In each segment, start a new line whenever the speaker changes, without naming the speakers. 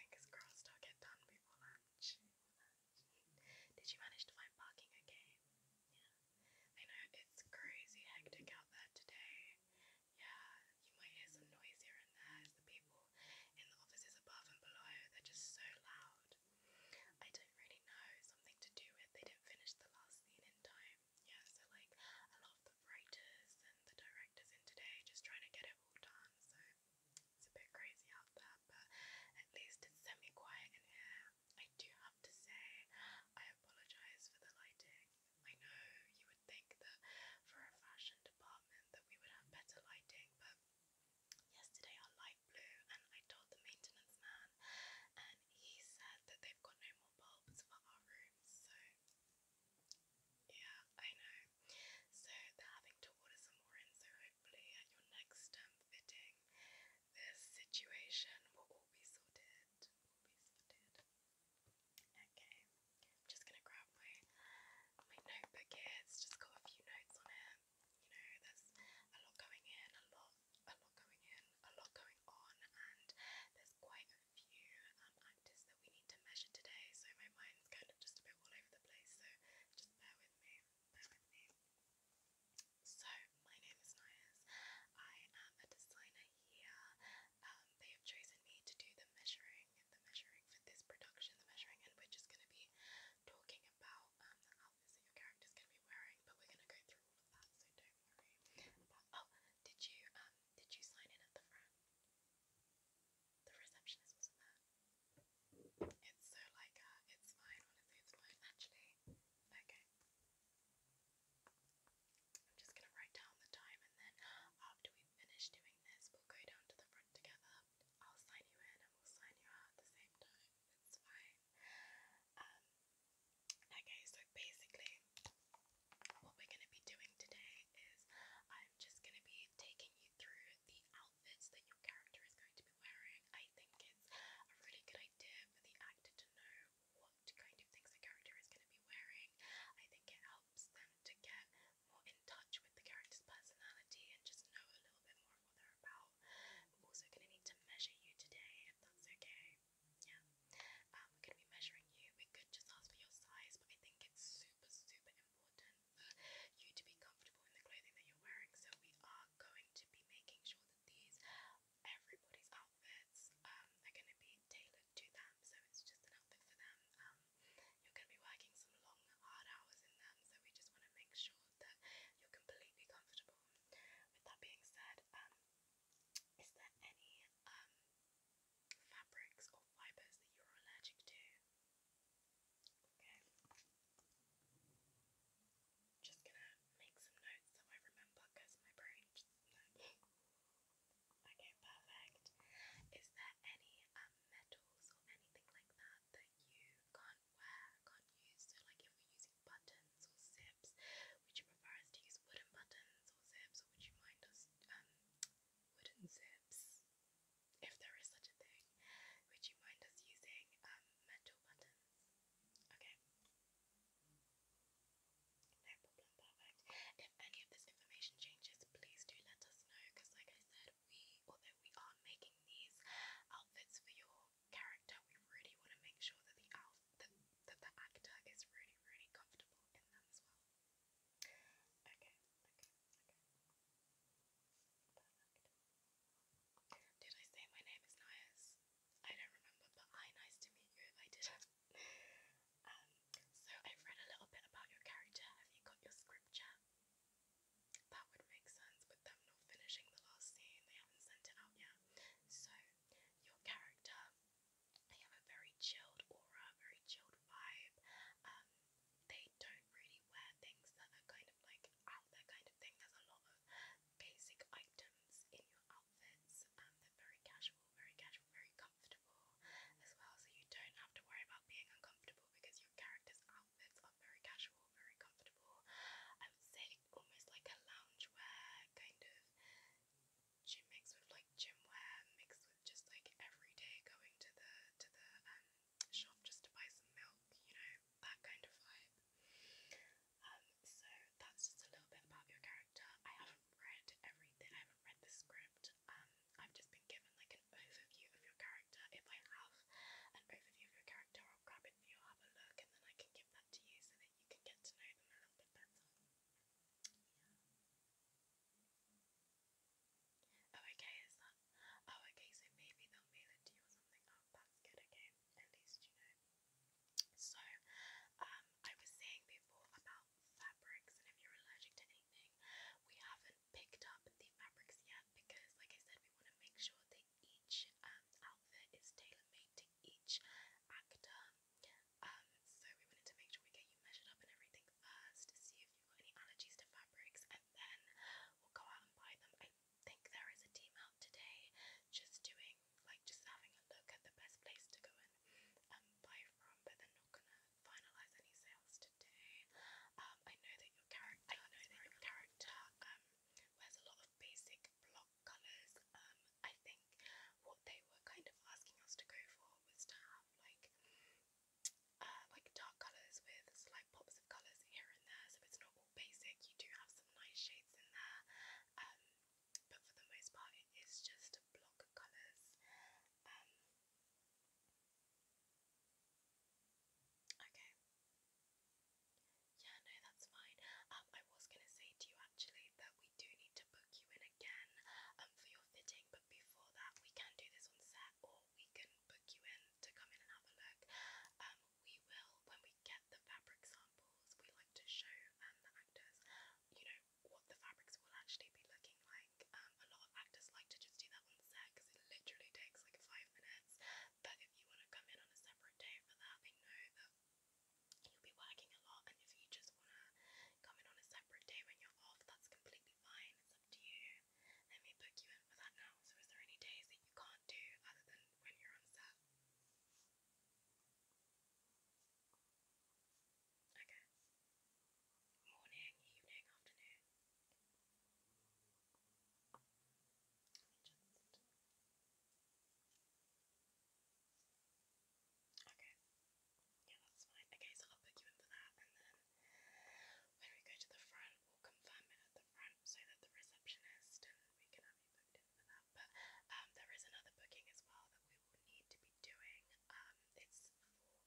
Fingers crossed I'll get done before lunch. Did you manage to find parking okay? Yeah. I know it's crazy hectic out there today. Yeah, you might hear some noise here and there as the people in the offices above and below, they're just so loud. I don't really know, something to do with they didn't finish the last scene in time. Yeah, so like a lot of the writers and the directors in today just trying to get it all done, so it's a bit crazy out there, but at least it's semi quiet in here. I do have to say, I apologize for the lighting. I know you would think that for a fashion department that we would have better lighting, but yesterday our light blew, and I told the maintenance man, and he said that they've got no more bulbs for our rooms, so yeah, I know. So they're having to order some more in, so hopefully at your next um, fitting, this situation will all be sorted. Okay, I'm just gonna grab my my notebook here. just got a few notes on it. You know, there's a lot going in, a lot, a lot going in, a lot going on, and there's quite a few um, practice that we need to measure today, so my mind's kind of just a bit all over the place, so just bear with me, bear with me. So, my name is Nias, I am a designer here, um, they have chosen me to do the measuring, the measuring for this production, the measuring, and we're just going to be talking about um, the outfits that your character's going to be wearing, but we're going to go through all of that, so don't worry oh, did you, um, did you sign in at the front? The receptionist wasn't there. It's so like her. Uh, it's mine. Honestly, it's mine. Actually, okay. I'm just gonna write down the time, and then after we finish doing this, we'll go down to the front together. I'll sign you in, and we'll sign you out the same time. It's fine. Um. Okay, so basically, what we're gonna be doing today is I'm just gonna be taking through the outfits that your character is going to be wearing, I think it's a really good idea for the actor to know what kind of things the character is going to be wearing. I think it helps them to get more in touch with the character's personality and just know a little bit more about. we also going to need to measure you today, if that's okay. Yeah. Um, we're going to be measuring you. We could just ask for your size, but I think it's super, super important you to be comfortable in the clothing that you're wearing. So we are going to be making sure that these everybody's outfits um, are going to be tailored to them. So it's just an outfit for them. Um, you're going to be working some long, hard hours in them. So we just want to make sure that you're completely comfortable. With that being said, um, is there any um fabrics or fibres that you're allergic to. Okay. Just gonna make some notes so I remember because my brain just Okay, perfect. Is there any um metals or anything like that that you can't wear, can't use? So like if we're using buttons or zips, would you prefer us to use wooden buttons or zips or would you mind us um wooden zips? if there is such a thing, would you mind us using um, metal buttons? Okay. No problem, perfect. If any of this information changes, please do let us know because, like I said, we, although we are making these outfits for your character, we really want to make sure that the, out that, that the actor is really, really comfortable in them as well. Okay, okay, okay. Did I say my name is Nias? I don't remember, but hi, nice to meet you if I did um, so I've read a little bit about your character. Have you got your scripture? That would make sense with them not finishing the last scene. They haven't sent it out yet. So your character, they have a very chilled aura, very chilled vibe. Um, they don't really wear things that are kind of like out there kind of thing. There's a lot of basic items in your outfits and um, they're very casual, very casual, very comfortable as well. So you don't have to worry about being uncomfortable because your character's outfits are very casual, very comfortable. I would say almost like a loungewear kind of gym mix with like gym wear mixed with just like every day going to the to the um, shop just to buy some milk, you know, that kind of vibe. Um, so that's just a little bit about your character. I haven't read everything, I haven't read the script. Um, I've just been given like an overview of your character. If I have an overview of your character, I'll grab it for you, have a look, and then I can give that to you so that you can get to know them a little bit better. Oh, okay, is that? Oh, okay, so maybe they'll mail it to you or something. Oh, that's good, okay. At least you know. So, um, I was saying before about fabrics and if you're allergic to anything, we haven't picked up the fabrics yet because, like I said, we want to make sure that each um, outfit is tailor made to each actor. Um, so we wanted to make sure we get you measured up and everything first to see if you've got any allergies to fabrics, and then we'll go out and buy them. I think there is a team out today just doing like just having a look at the best place to go and um, buy from, but they're not gonna finalize any sales today. Um, I know that your character, I know that your character um, wears a lot of basic block colors. Um, I think what they were kind of asking us to go for was to have like uh, like dark colours with slight pops of colours here and there, so it's not all basic. You do have some nice shades in there, um, but for the most part, it is just block colours. Um, okay. Yeah, no, that's fine. Um, I was gonna say to you actually that we do need to book you in again um for your fitting before that, we can do this on set, or we can book you in to come in and have a look. Um, we will, when we get the fabric samples, we like to show um, the actors, you know, what the fabrics will actually be looking like. Um, a lot of actors like to just do that on set because it literally takes like five minutes. But if you want to come in on a separate day for that, I know that you'll be working a lot, and if you just want to come in on a separate day when you're off, that's completely fine, it's up to you. Let me book you in for that now. So, is there any days that you can't do other than when you're on set? Okay. Morning, evening, afternoon. Okay. Yeah, that's fine. Okay, so I'll put you in for that and then when we go to the front we'll confirm it at the front so that the receptionist and we can have you booked in for that. But um there is another booking as well that we will need to be doing. Um it's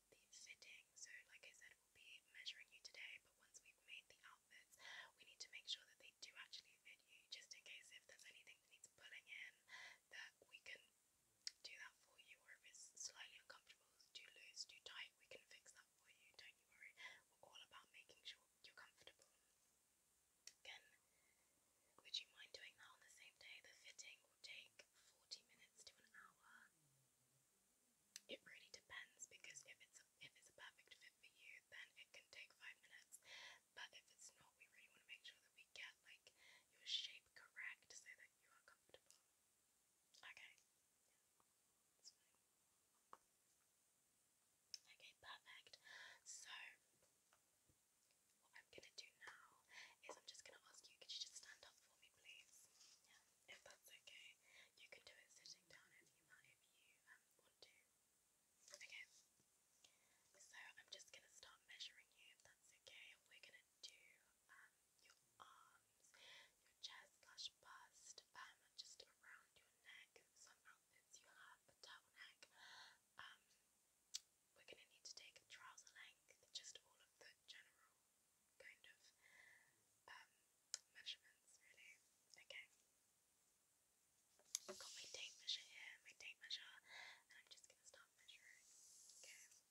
for the fitting. So like I said we'll be measuring you today, but once we've made the outfits we need to make sure that they do actually fit you just in case if there's anything that needs pulling in that we can do that for you, or if it's slightly uncomfortable, too loose, too tight, we can fix that for you. Don't you worry. We're all about making sure you're comfortable. Again, would you mind doing that on the same day? The fitting will take 40 minutes to an hour. It really depends because if it's a, if it's a perfect fit for you, then it can take five minutes. But if it's not, we really want to make sure that we get like your shape correct so that you are comfortable. Okay. Okay, perfect. So what I'm gonna do now is I'm just gonna ask you, could you just stand up for me please? Yeah, if that's okay. You can do it sitting down if you if you um want to. Okay. So I'm just gonna start measuring you if that's okay. We're gonna do um your arms, your chest slash bust, um, just around your neck. Some outfits you have a turtleneck. Um, we're gonna need to take trouser length, just all of the general kind of um measurements really. Okay. I've got my tape measure here, my tape measure, and I'm just gonna start measuring. Okay. Okay. Okay.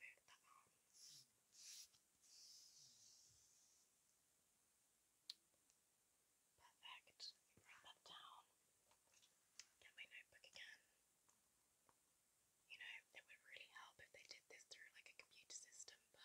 Let me just smooth that out. Perfect. Write that down. Get my notebook again. You know, it would really help if they did this through like a computer system, but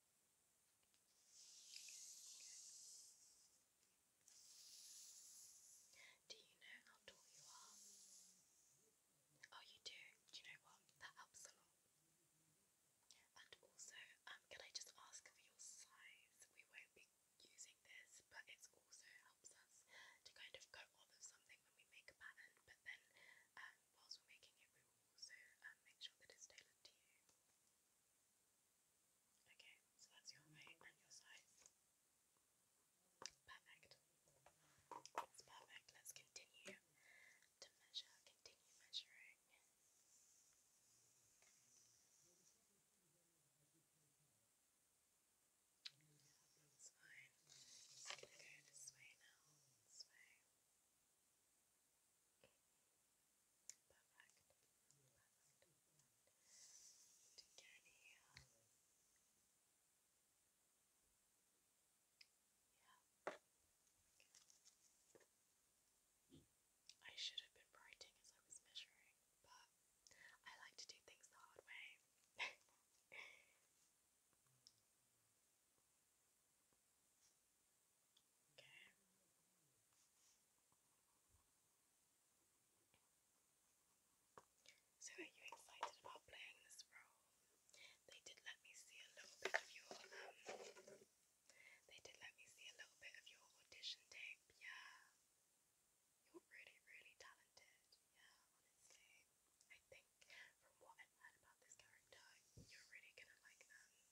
Do you know how tall you are? Oh, you do? Do you know what? That helps a lot. And also, um, can I just ask for your size? We won't be using this, but it also helps us to kind of go off of something when we make a pattern, but then um, whilst we're making it, we will also um, make sure that it's tailored to you. Okay, so that's your weight and your size. Perfect. That's perfect. Let's continue to measure, continue measuring. That's fine. Just gonna go this way now. This way perfect. To get Yeah. I should have been writing as I was measuring, but I like to do things the hard way. So are you excited about playing this role? They did let me see a little bit of your um, they did let me see a little bit of your audition tape, yeah. You're really, really talented, yeah, honestly. I think from what I've heard about this character, you're really gonna like um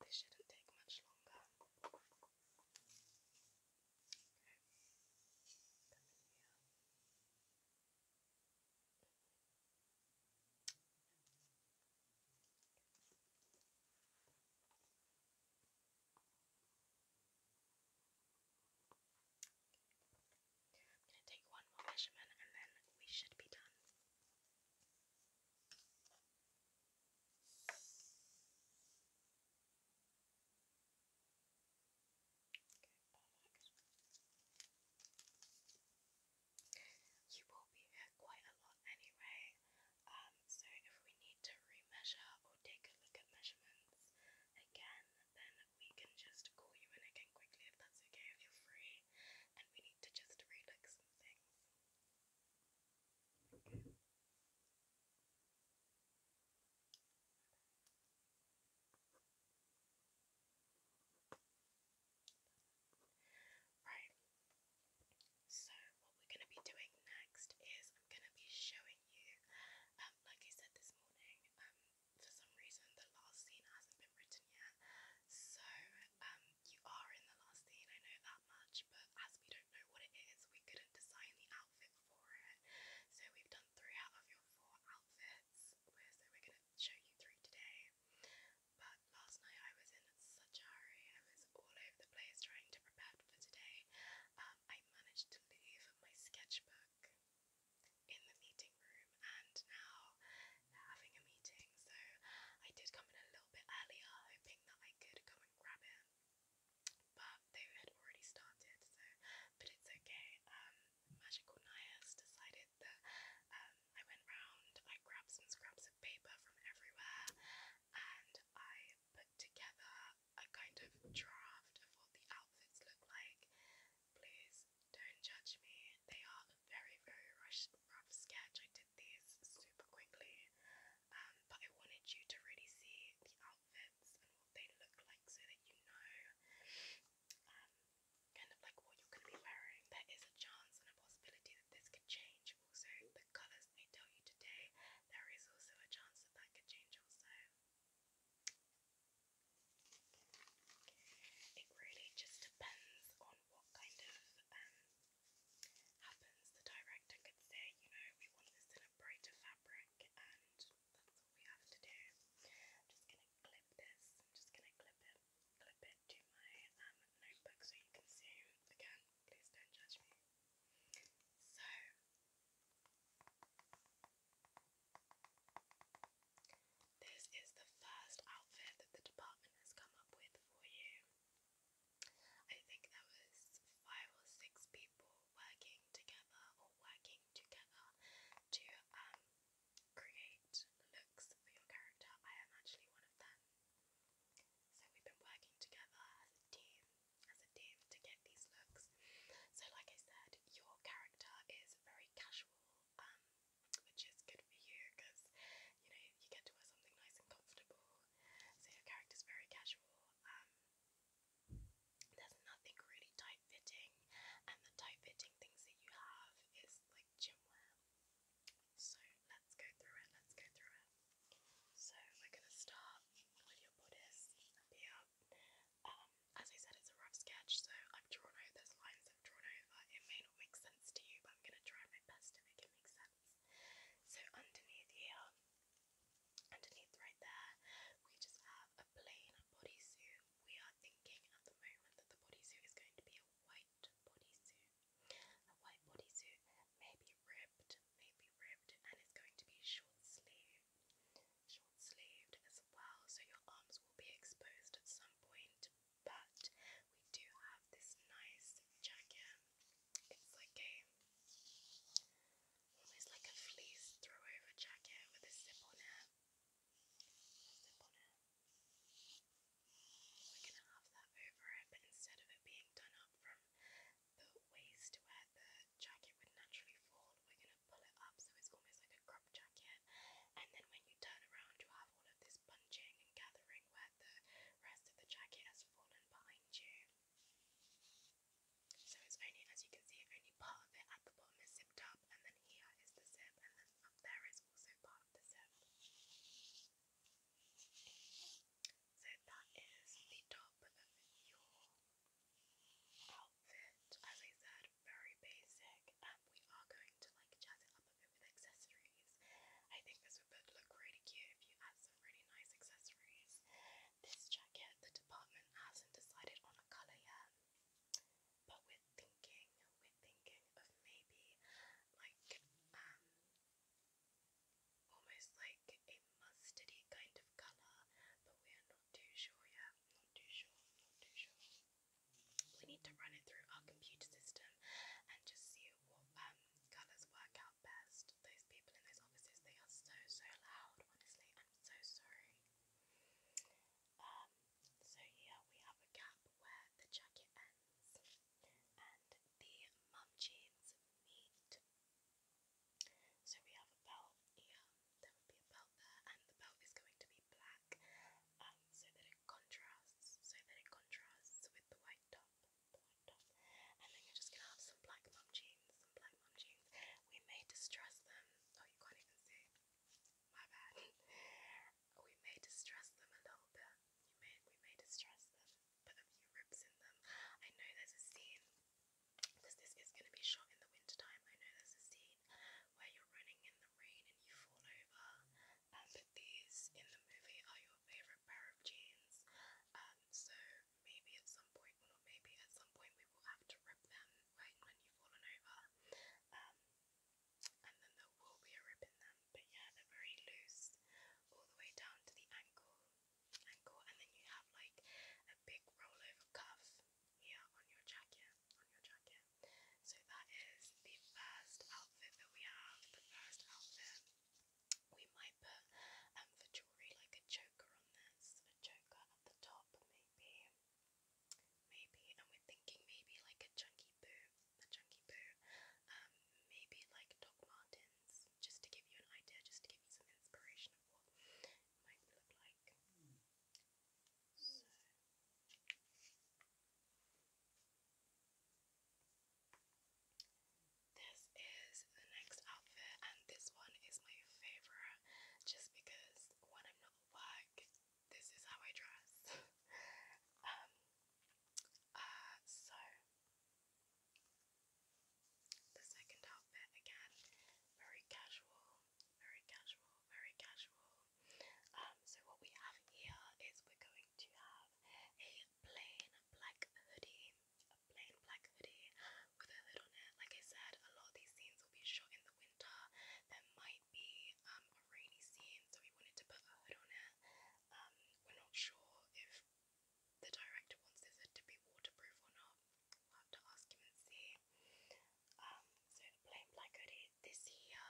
This shouldn't take much longer. going to take one more measurement and then we should be done. You will be here quite a lot anyway, um, so if we need to re-measure or take a look at measurements again, then we can just call you in again quickly if that's okay if you're free, and we need to just re-look Right, so what we're going to be doing next is I'm going to be showing you, um, like I said this morning, um, for some reason the last scene hasn't been written yet, so um, you are in the last scene, I know that much, but as we don't know what it is, we couldn't design the outfit for it. So we've done three out of your four outfits, so we're going to show you three today. But last night I was in such a hurry, I was all over the place trying to prepare for today. Um, I managed to leave my sketchbook in the meeting room, and now having a meeting, so I did come in a little bit earlier, hoping that I could come and grab it, but they had already started, so but it's okay. Um, Magical Nias decided that um, I went round, I grabbed some scraps of paper from everywhere, and I put together a kind of draft of what the outfits look like. Please don't judge me, they are very, very rough sketch. I did these super quickly, um, but I wanted you to really see the outfits and what they look like so that you know um, kind of like what you're going to be wearing. There is a chance and a possibility that this could change. Also, the colours I tell you today, there is also a chance that that could change also. It really just depends on what kind of um, happens. The director could say, you know, we want this in a brighter fabric, and that's all we have to do. just going to clip this. just going to clip it, clip it to my um, notebook so you can see. Again, please don't judge me. So. This is the first outfit that the department has come up with for you. I think there was five or six people working together or working together to um, create looks for your character. I am actually one of them. So we've been working together as a team, as a team to get these looks. So like I said, your character is very casual um, which is good for you because you know you get to wear something nice and comfortable. So your character's very casual. Um, there's nothing really tight fitting, and the tight fitting things that you have is like gym wear. So let's go through it. Let's go through it. So we're gonna start with your bodice and Um, as I said, it's a rough sketch, so I've drawn over those lines. I've drawn over. It may make sense to you, but I'm going to try my best to make it make sense. So, underneath here, underneath right there, we just have a plain bodysuit. We are thinking at the moment that the bodysuit is going to be a white bodysuit. A white bodysuit, maybe ribbed, maybe ribbed, and it's going to be short sleeve. Short sleeved as well, so your arms will be exposed at some point, but we do have this nice jacket. It's like a almost like a fleece throwover jacket with a zip on it. zip on it. We're gonna have that over it, but instead of it being done up from the waist where the jacket would naturally fall, we're gonna pull it up so it's almost like a crop jacket. And then when you turn around, you have have all of this punching and gathering where the rest of the jacket has fallen behind you. So it's only, as you can see, only part of it at the bottom is zipped up, and then here is the zip, and then up there is also part of the zip. So that is the top of your outfit. As I said, very basic, and we are going to like jazz it up with accessories. I think this would look really cute if you add some really nice accessories. This jacket, the department hasn't decided on a colour yet, but we're thinking, we're thinking of maybe like um almost like a mustardy kind of colour, but we're not too sure yet. Not too sure, not too sure we need to run it through our computer system and just see what um, colours work out best. Those people in those offices, they are so, so loud, honestly. I'm so sorry. Um, so here we have a gap where the jacket ends and the mum jeans meet. So we have a belt here, there would be a belt there, and the belt is going to be black, um, so that it contrasts, so that it contrasts with the white top, the white top. And then you're just gonna have some black mum jeans, some black mum jeans. We may distress them. Oh, you can't even see. My bad. we may distress them a little bit. You may, we may distress them, put a few rips in them. I know there's a scene because this is gonna be shot in the winter time. I know there's a scene where you're running in the rain and you fall over. And these in the movie are your favorite pair of jeans. Um, so maybe at some point, or maybe at some point, we will have to rip them when, when you've fallen over. Um, and then there will be a rip in them, but yeah, they're very loose all the way down to the ankle. Ankle, and then you have like a big rollover cuff here on your jacket on your jacket. So that is the first outfit that we have. The first outfit we might put um for jewelry like a choker on this, a choker at the top maybe, maybe, and we're thinking maybe like a chunky boot, a chunky boot, um maybe like Doc Martens, just to give you an idea, just to give you some inspiration of what might look like. This is the next outfit, and this one is my favorite just because when I'm not at work, this is how I dress. um, uh, so, the second outfit again, very casual, very casual, very casual. Um, so what we have here is we're going to have a plain black hoodie, a plain black hoodie with a hood on it. Like I said, a lot of these scenes will be shot in the winter. There might be um, a rainy scene, so we wanted to put a hood on it. Um, we're not sure if the director wants this hood to be waterproof or not. have to ask him and see. Um, so a plain black hoodie. This here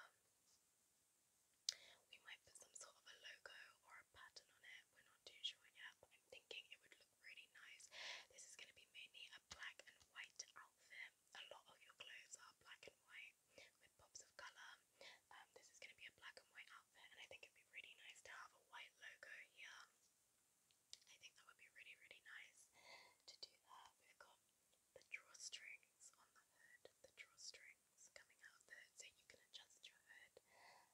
we might put some sort of a logo or a pattern on it. We're not too sure yet, but I'm thinking it would look really nice. This is going to be mainly a black and white outfit. A lot of your clothes are black and white with pops of colour. Um, this is going to be a black and white outfit, and I think it'd be really nice to have a white logo here. I think that would be really, really nice to do that. We've got the drawstrings on the hood, the drawstrings coming out the hood, so you can adjust your hood. Um,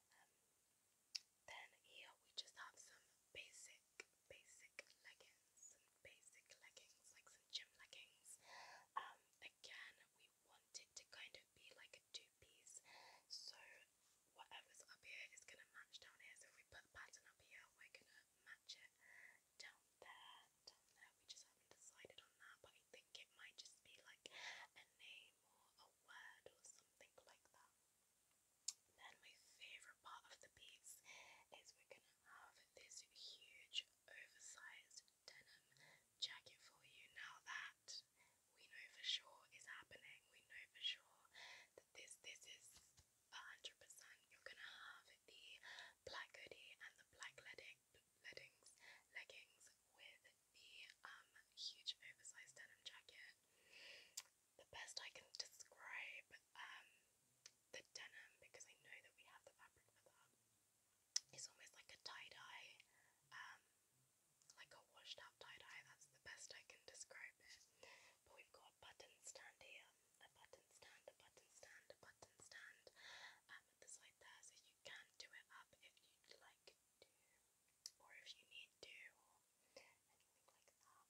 then here we just have some basic, basic leggings, basic leggings, like some gym leggings. Um, again, we want to kind of be like a two-piece, so whatever's up here is gonna match down here. So if we put a pattern up here, we're gonna match it down there, down there. We just haven't decided on that, but I think it might just be like a name or a word or something like that. Then my favourite part of the piece is we're gonna have this huge oversized denim jacket for you. Now that we know for sure is happening, we know for sure that this this is 100%. You're gonna have the black hoodie and the black legging, leggings, leggings with the um, huge oversized denim jacket. The best I can describe um, the denim, because I know that we have the fabric for that, is almost like a tie dye, um, like a washed out tie dye. That's the best I can describe it. But we've got a button here a button stand, a button stand, a button stand um, at the side there, so you can do it up if you'd like to, or if you need to, anything like that.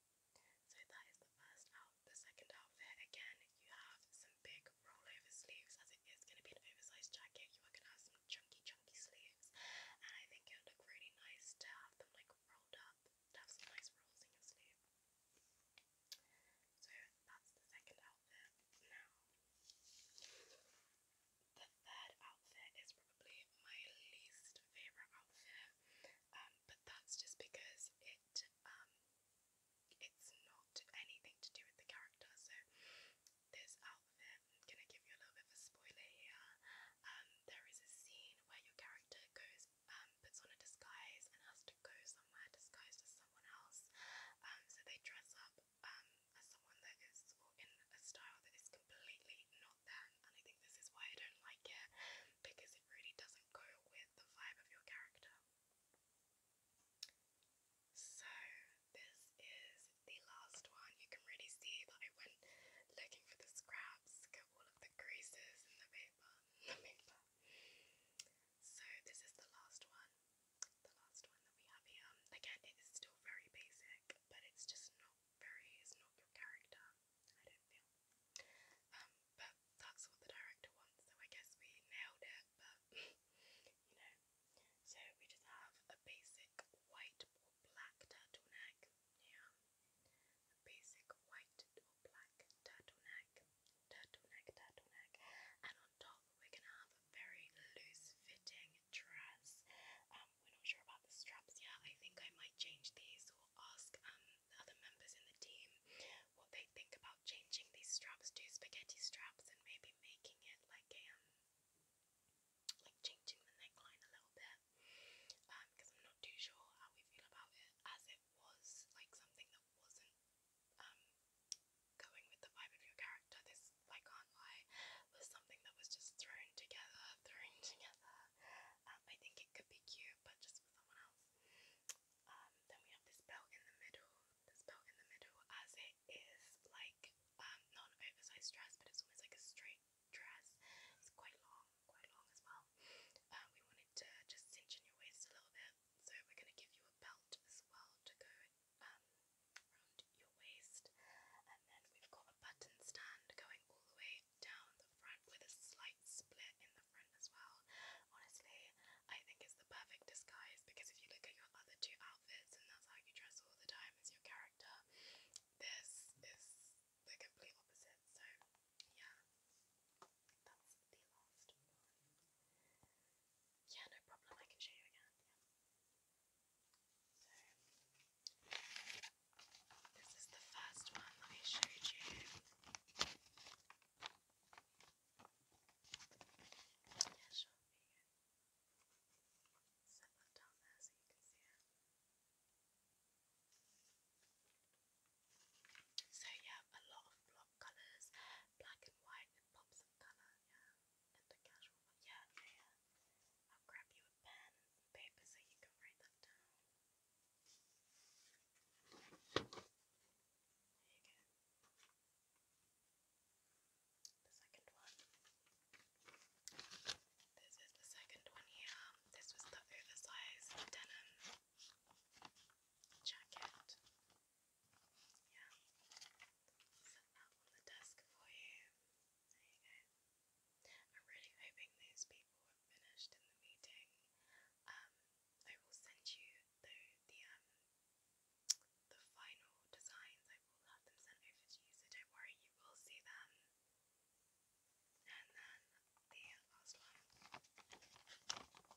So that is the first out. The second outfit, again, you have some big rollover sleeves, as it is going to be an oversized jacket. You are going to have some chunky, chunky sleeves, and I think it would look really nice to have them like rolled up, have some nice rolls in your sleeve. So that's the second outfit. Now, the third outfit is probably my least favorite outfit, um, but that's just because it um it's not anything to do with the character. So this outfit, I'm gonna give you a little bit of a spoiler here. Um, there is a scene where your character goes um, puts on a disguise and has to go somewhere disguised as someone else. Um, so they dress up um, as someone that is or in a style that is completely not them, and I think this is why I don't like it because it really doesn't go with the vibe of your character. So, this is the last one. You can really see that I went looking for the scraps, got all of the greases and the paper, the paper. So this is the last one, the last one that we have here. Again, it is still very basic, but it's just not very, it's not your character, I don't feel. Um, but that's what the director wants, so I guess we nailed it, but, you know. So we just have a basic white or black turtleneck, yeah. basic white or black turtleneck turtleneck, turtleneck, and on top we're gonna have a very loose-fitting dress. Um, we're not sure about the straps yet. I think I might change these or ask um the other members in the team what they think about changing these straps to spaghetti straps and maybe making it like um like changing the neckline a little bit. Um, because I'm not too sure how we feel about it as it was like something that wasn't um, going with the vibe of your character. This, I can't lie, was something that was just thrown together, thrown together. Um, I think it could be cute, but just for someone else. Um, then we have this belt in the middle. This belt in the middle, as it is like um, not oversized dress, but it's almost like a straight dress. It's quite long, quite long as well. Uh, we wanted to just cinch in your waist a little bit. So we're going to give you a belt as well to go um, around your waist. And then we've got a button stand going all the way down the front with a slight split in the front as well. Honestly, I think it's the perfect disguise because if you look at your other two outfits and that's how you dress all the time as your character, this is the complete opposite. So yeah. That's the last Yeah, no problem, I can show you again, yeah. So this is the first one that I showed you. Yeah, sure, there Set that down there so you can see it. So yeah, a lot of block colours, black and white and pops of colour, yeah, and the casual one, yeah, yeah, I'll grab you a pen paper so you can write that down. There The second one. This is the second one here. This was the oversized denim jacket. Yeah. Set that on the desk for you. I'm really hoping those people have finished in the meeting. Um, I will send you the the um the final designs. I will have them sent over to you, so don't worry, you will see them. And then the on the table you can just have a look at all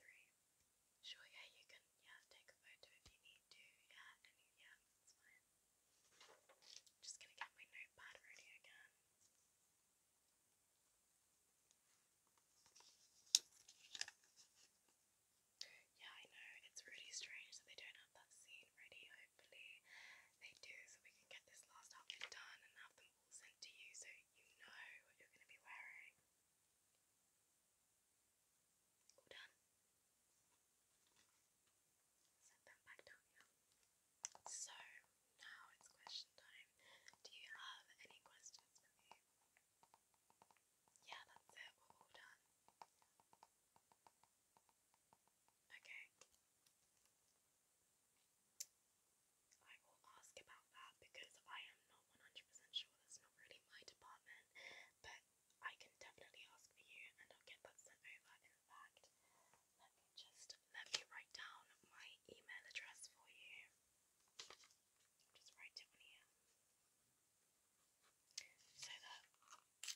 three. Sure, yeah, you can yeah, take a photo if you need to, yeah, and yeah, that's fine. just gonna get my notepad ready again. Yeah, I know, it's really strange that they don't have that scene ready. Hopefully, they do so we can get this last outfit done and have them all sent to you so you know what you're going to be wearing. All done. Set them back down here. So, now it's question time. Do you have any questions for me? Yeah, that's it. all done. Okay. I will ask about that because I am not 100% sure that's not really my department, but I can definitely ask for you and I'll get that sent over. In fact, let me just let me write down my email address for you. just write it here so that so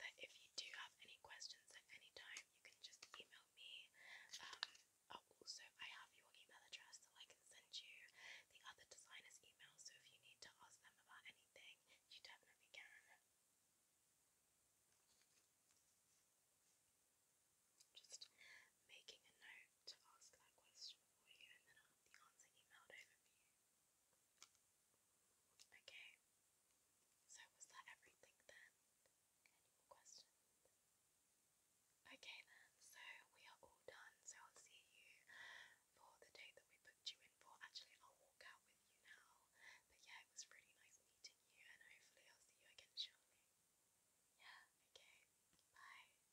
that if you do have any questions at any time, you can just email me. Um, oh, also, I have your email address so I can send you the other designer's email. So if you need to ask them about anything, you definitely can. Just making a note to ask that question for you, and then the answer emailed over for you. Okay, so was that everything then? Any more questions? Okay then, so we are all done, so I'll see you for the date that we booked you in for. Actually, I'll walk out with you now, but yeah, it was really nice meeting you, and hopefully, I'll see you again shortly. Yeah, okay, bye.